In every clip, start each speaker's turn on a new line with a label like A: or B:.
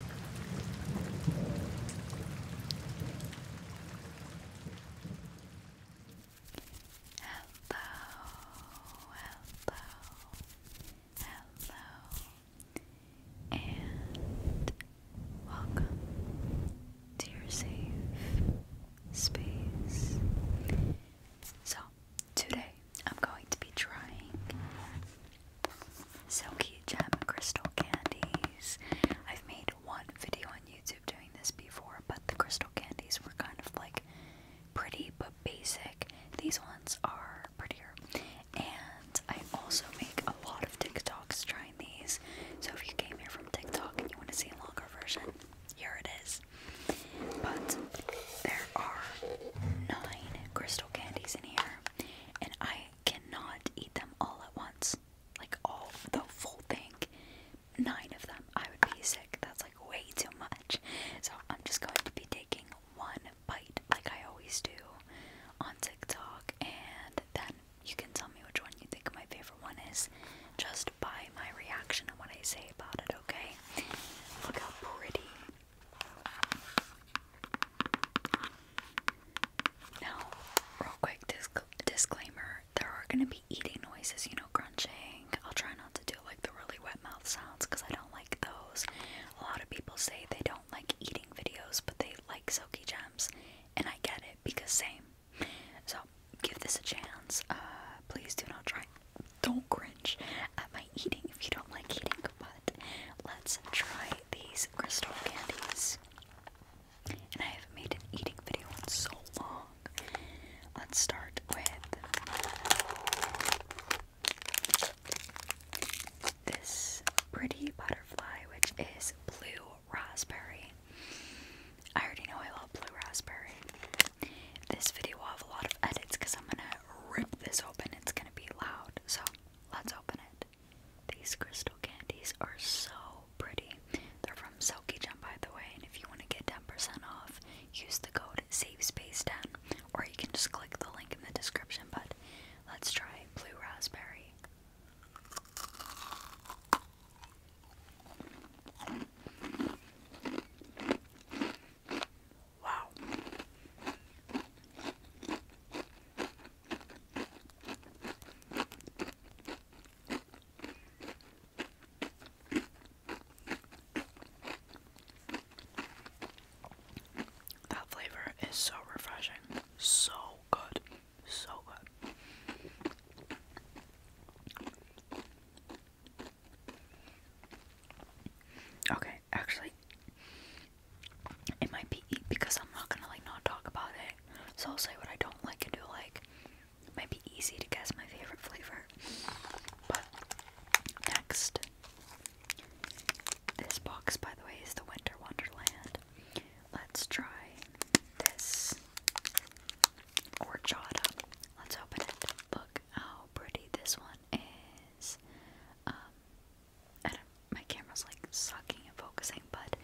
A: Hello, hello, hello, and welcome to your safe space. So, today I'm going to be trying Silky Gem Crystal Candies. I've made one video on YouTube doing this before, but the crystal candies were kind of like pretty but basic. These ones are prettier. And I also make a lot of TikToks trying these. So if you came here from TikTok and you want to see a longer version, here it is. But there are nine crystal candies in here. And I cannot eat them all at once. Like all the full thing. Nine of them. I would be sick. That's like way too much. So I'm just going to be taking one bite like I always do on TikTok and then you can tell me which one you think my favorite one is just by my reaction and what I say about it, okay? Look how pretty. Now, real quick disc disclaimer there are going to be eating noises, you know, crunching. I'll try not to do like the really wet mouth sounds because I don't like those. A lot of people say they don't like eating videos, but they like silky gems, and I get it because same. So, give this a chance. Uh, please do not try. Don't cringe at my eating if you don't like eating but let's try these crystal candies. And I haven't made an eating video in so long. Let's start with this pretty butterfly, which is blue raspberry. I already know I love blue raspberry. This video will have a lot of edits because I'm gonna rip this open. It's gonna be loud. So let's open it. These crystal candies are so pretty. They're from Silky Jump, by the way, and if you want to get 10% off, use the code SAVESPACE10, or you can just click the link in the description, but let's try Blue Raspberry. Wow. That flavor is so refreshing. So good. So good. Okay, actually, in my PE because I'm not gonna like not talk about it. So I'll say what I don't like and do like. might be easy to guess my favorite flavor. But next, this box by the way is the Winter Wonderland. Let's try this horchata. Let's open it. Look how pretty this one is. Um, I don't, my camera's like sucking and focusing, but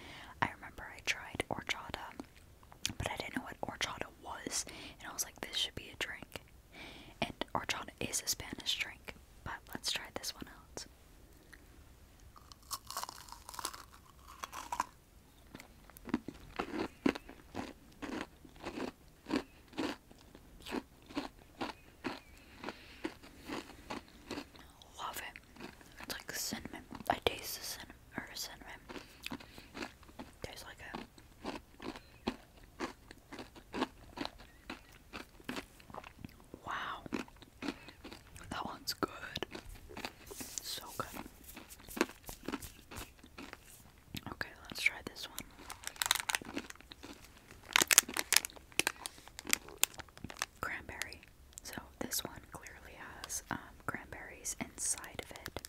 A: I remember I tried horchata, but I didn't know what horchata was, and I was like, this should be a drink. And horchata is a Spanish drink, but let's try this one out. Love it. It's like cinnamon. I taste the cinnamon or cinnamon. Tastes Wow. That one's good. So good. Okay, let's try this one cranberry. So this one clearly has um, cranberries inside of it.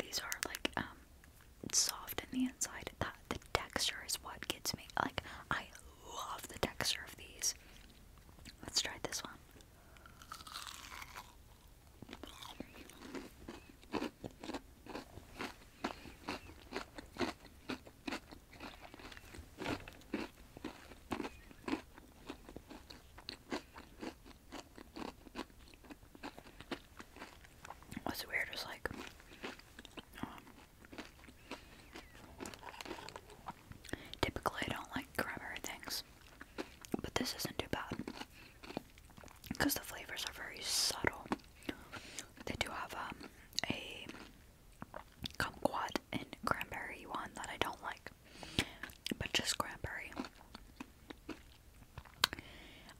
A: These are like um soft in the inside. That the texture is what gets me. Like I love the texture of these. Let's try this one. What's weird is like, um, typically I don't like cranberry things, but this isn't too bad because the flavors are very subtle. They do have um, a kumquat and cranberry one that I don't like, but just cranberry.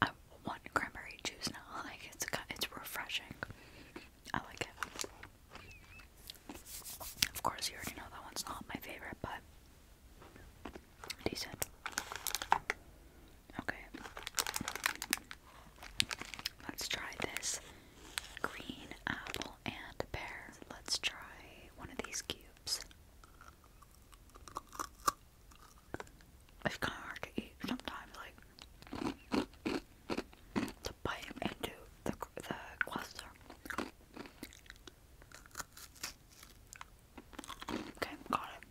A: I want cranberry juice now. Like it's it's refreshing. I like it. Of course, you already know that one's not my favorite, but decent. Okay. Let's try this green apple and pear. Let's try one of these cubes. It's kind of to eat sometimes, like to bite into the the cluster. Okay, got it.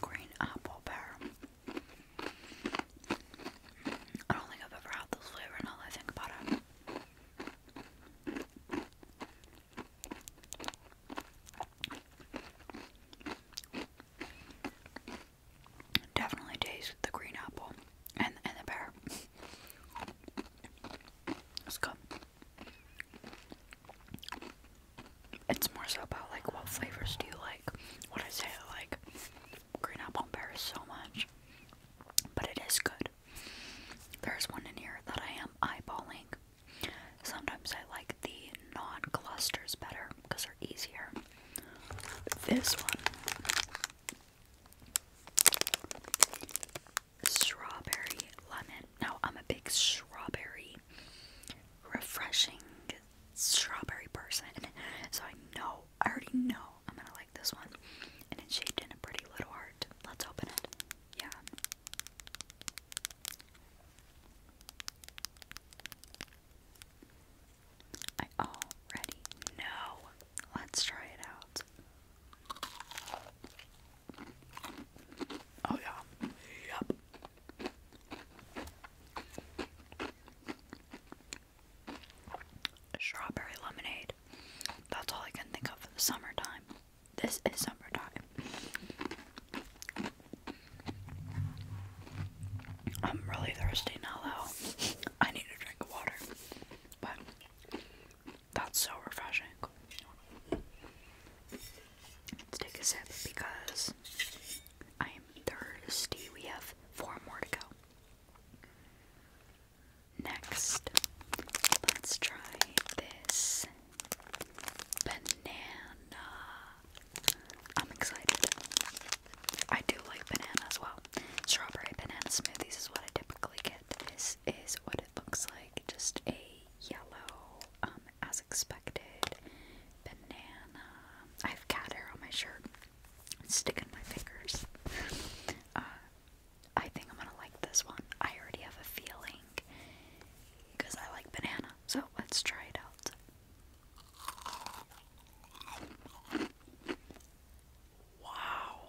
A: Green apple pear. I don't think I've ever had this flavor now that I think about it. Definitely taste the green apple and and the pear. It's good. It's more so about like what flavors do you like. What I say like green apple and pear so much. But it is good. There's one in here that I am eyeballing. Sometimes I like the non clusters better because they're easier. This one Strawberry lemon. Now, I'm a big strawberry, refreshing strawberry person. So I know, I already know I'm gonna like this one. And it's shaped in a pretty little heart. Let's open it. Yeah. I already know. Let's try it out. Oh yeah. Yep. Strawberry lemonade. That's all I can think of for the summertime. This is summertime. I'm really thirsty now though. I need a drink of water. But that's so refreshing. Let's take a sip because I am thirsty. We have four more to go. Next, let's try this banana. I'm excited. I do like banana as well. Strawberry banana smoothies is what I typically get is what it looks like, just a yellow, um, as expected, banana. I have cat hair on my shirt. It's sticking my fingers. Uh, I think I'm gonna like this one. I already have a feeling because I like banana. So let's try it out. Wow.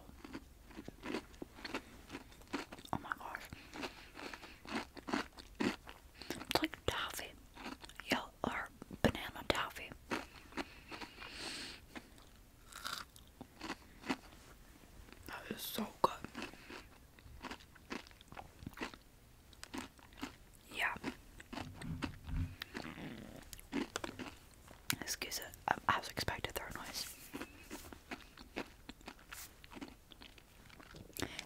A: Oh my gosh. It's like toffee. Yo, or banana toffee. That is so good. Yeah. Excuse it. I, was expecting throw noise.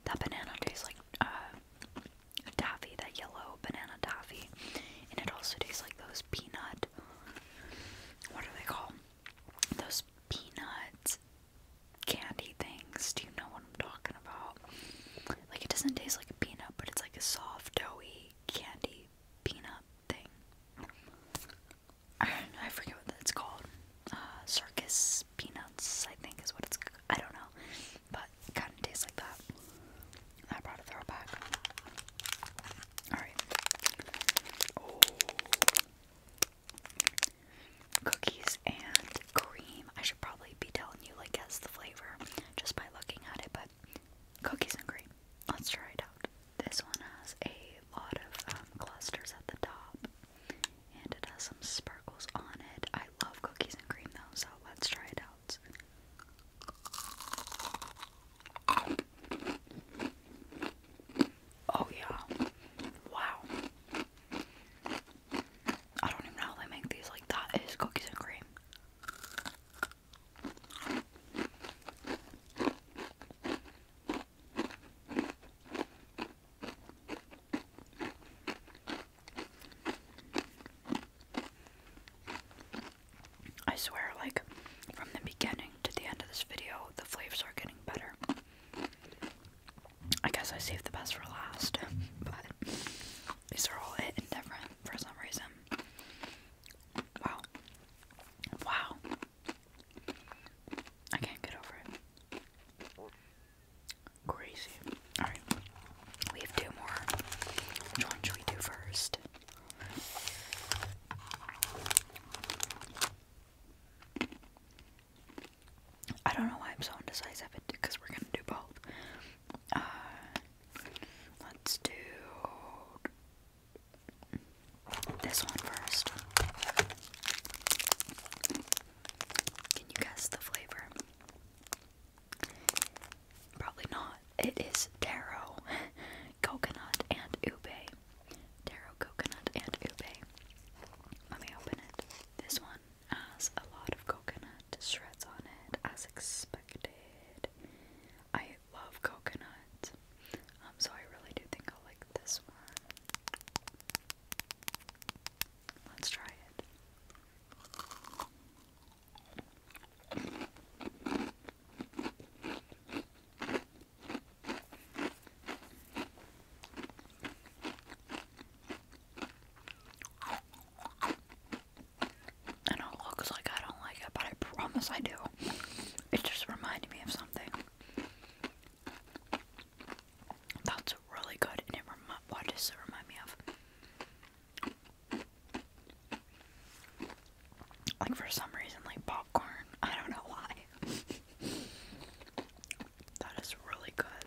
A: That banana tastes like uh, taffy, that yellow banana taffy, and it also tastes like those peanut. What are they called? Those peanut candy things. Do you know what I'm talking about? Like it doesn't taste like a peanut, but it's like a soft, doughy candy peanut thing. I forget what it's called. Uh, circus peanuts, I think, is what it's. I don't know, but it kind of tastes like that. I brought a throwback. All right. Cookies and cream. I should probably be telling you like guess the flavor just by looking at it, but cookies and cream. Let's try it out. This one has a lot of um, clusters at the top, and it has some sparkles on it. I love cookies and cream though, so let's try it out. Oh yeah. Wow. I don't even know how they make these like that is cookies and cream. I swear, like, from the beginning to the end of this video, the flavors are getting better. I guess I saved the best for last, but these are all hit and different for some reason. Wow. Wow. I can't get over it. Crazy. Alright. We have two more. Which one should we do first? I don't know why I'm so indecisive because we're gonna do both. Uh, let's do this one first. Can you guess the flavor? Probably not. It is taro, coconut, and ube. Taro, coconut, and ube. Let me open it. This one has a lot of coconut shreds on it, as expected. I love coconut, um, so I really do think I'll like this one. Let's try it. And it looks like I don't like it, but I promise I do. It just reminded me of something. That's really good, and it remi what does it remind me of? Like for some reason, like popcorn. I don't know why. that is really good.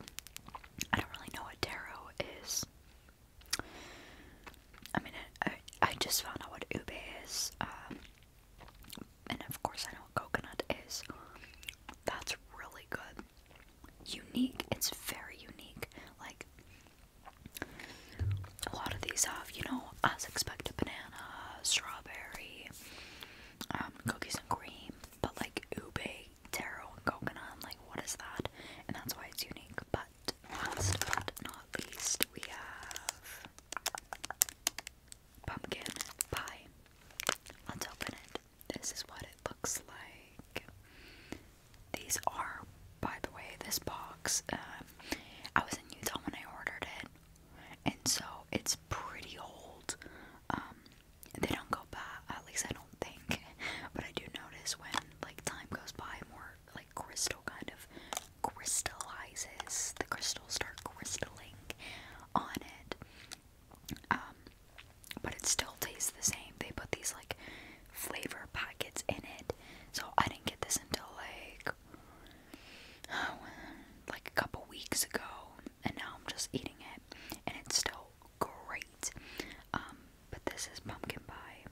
A: I don't really know what taro is. I mean, I, I, just found out what ube is. Um, and of course, I know what coconut is. That's really good. Unique. It's very unique. Like, a lot of these have, you know, as expected banana, strawberry, um, cookies and cream, but like ubi, taro, and coconut. like, what is that? And that's why it's unique. But last but not least, we have pumpkin pie. Let's open it. This is what it looks like. These are, by the way, this box. Um, I was in Utah when I ordered it, and so it's pretty old. Um, they don't go by, at least I don't think. But I do notice when like time goes by, more like crystal kind of crystallizes. The crystals start crystalling on it. Um, but it still tastes the same. They put these like flavor packets in it. So I didn't get this until like like a couple weeks ago, and now I'm just eating it, and it's still great. Um, but this is pumpkin pie.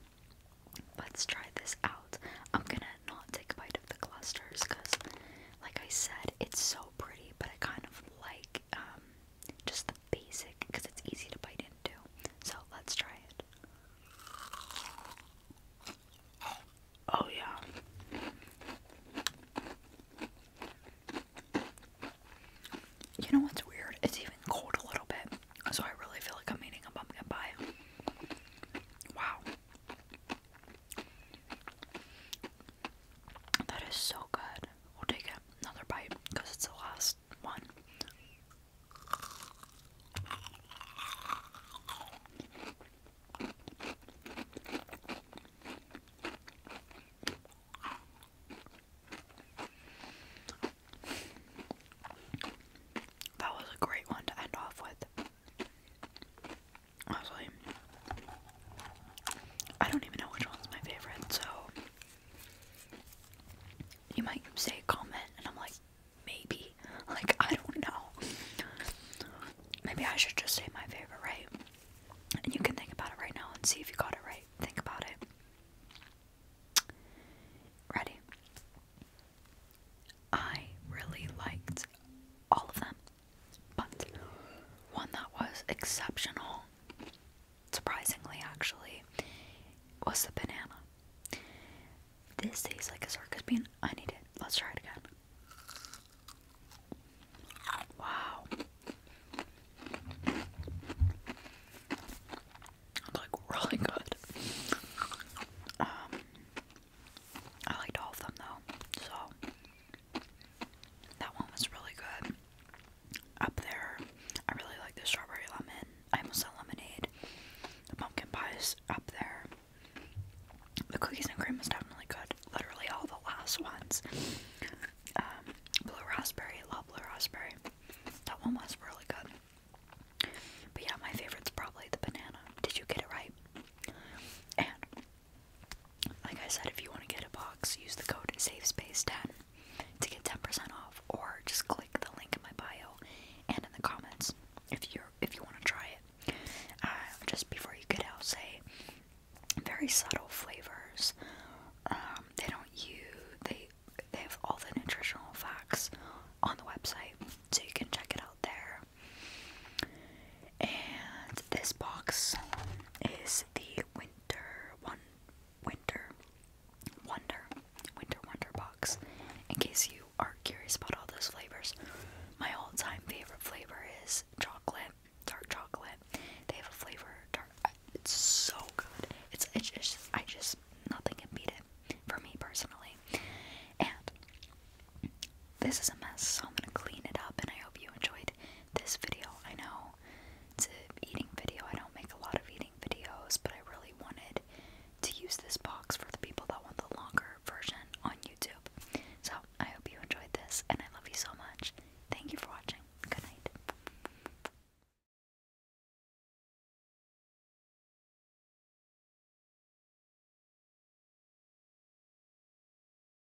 A: Let's try this out. I'm gonna not take a bite of the clusters because, like I said, it's so pretty, but I kind of like um, just the basic because it's easy to bite into. So let's try it. Oh, yeah. You know what's weird? It's even cold a little bit. So I really feel like I'm eating a pumpkin pie. Wow. That is so good. We'll take another bite because it's the last one. That was a great one to end off with. I I don't even know which one's my favorite, so you might say comment, and I'm like, maybe. Like, I don't know. Maybe I should just say my favorite, right? And you can think about it right now and see if you got it right. Think about it. Ready? I really liked all of them but one that was exceptional, surprisingly actually, was the banana. This tastes like a circus bean. I need it. Let's try it again. Wow. It's like really good. Um I liked all of them though. So that one was really good. Up there, I really like the strawberry lemon. I almost said lemonade. The pumpkin pie is up there. The cookies and cream was definitely good. Literally all the last ones. Um, blue raspberry, love blue raspberry. That one was really good. But yeah, my favorite is probably the banana. Did you get it right? Like I said, if you want to get a box, use the code SAFESPACE10 to get 10% off, or just click the link in my bio and in the comments if you if you want to try it. Uh, just before you get out, say very subtle flavors. Um, they don't use they they have all the nutritional facts on the website, so you can check it out there. And this box is the Winter One Winter Wonder Winter Wonder box. In case you are curious about all those flavors, my all-time favorite flavor is chocolate, dark chocolate. They have a flavor dark. It's so good. It's it's just I just nothing can beat it for me personally. And this is a mess, so I'm gonna clean it up, and I hope you enjoy this video. I know it's an eating video. I don't make a lot of eating videos, but I really wanted to use this box for the people that want the longer version on YouTube. So I hope you enjoyed this, and I love you so much. Thank you for watching. Good night.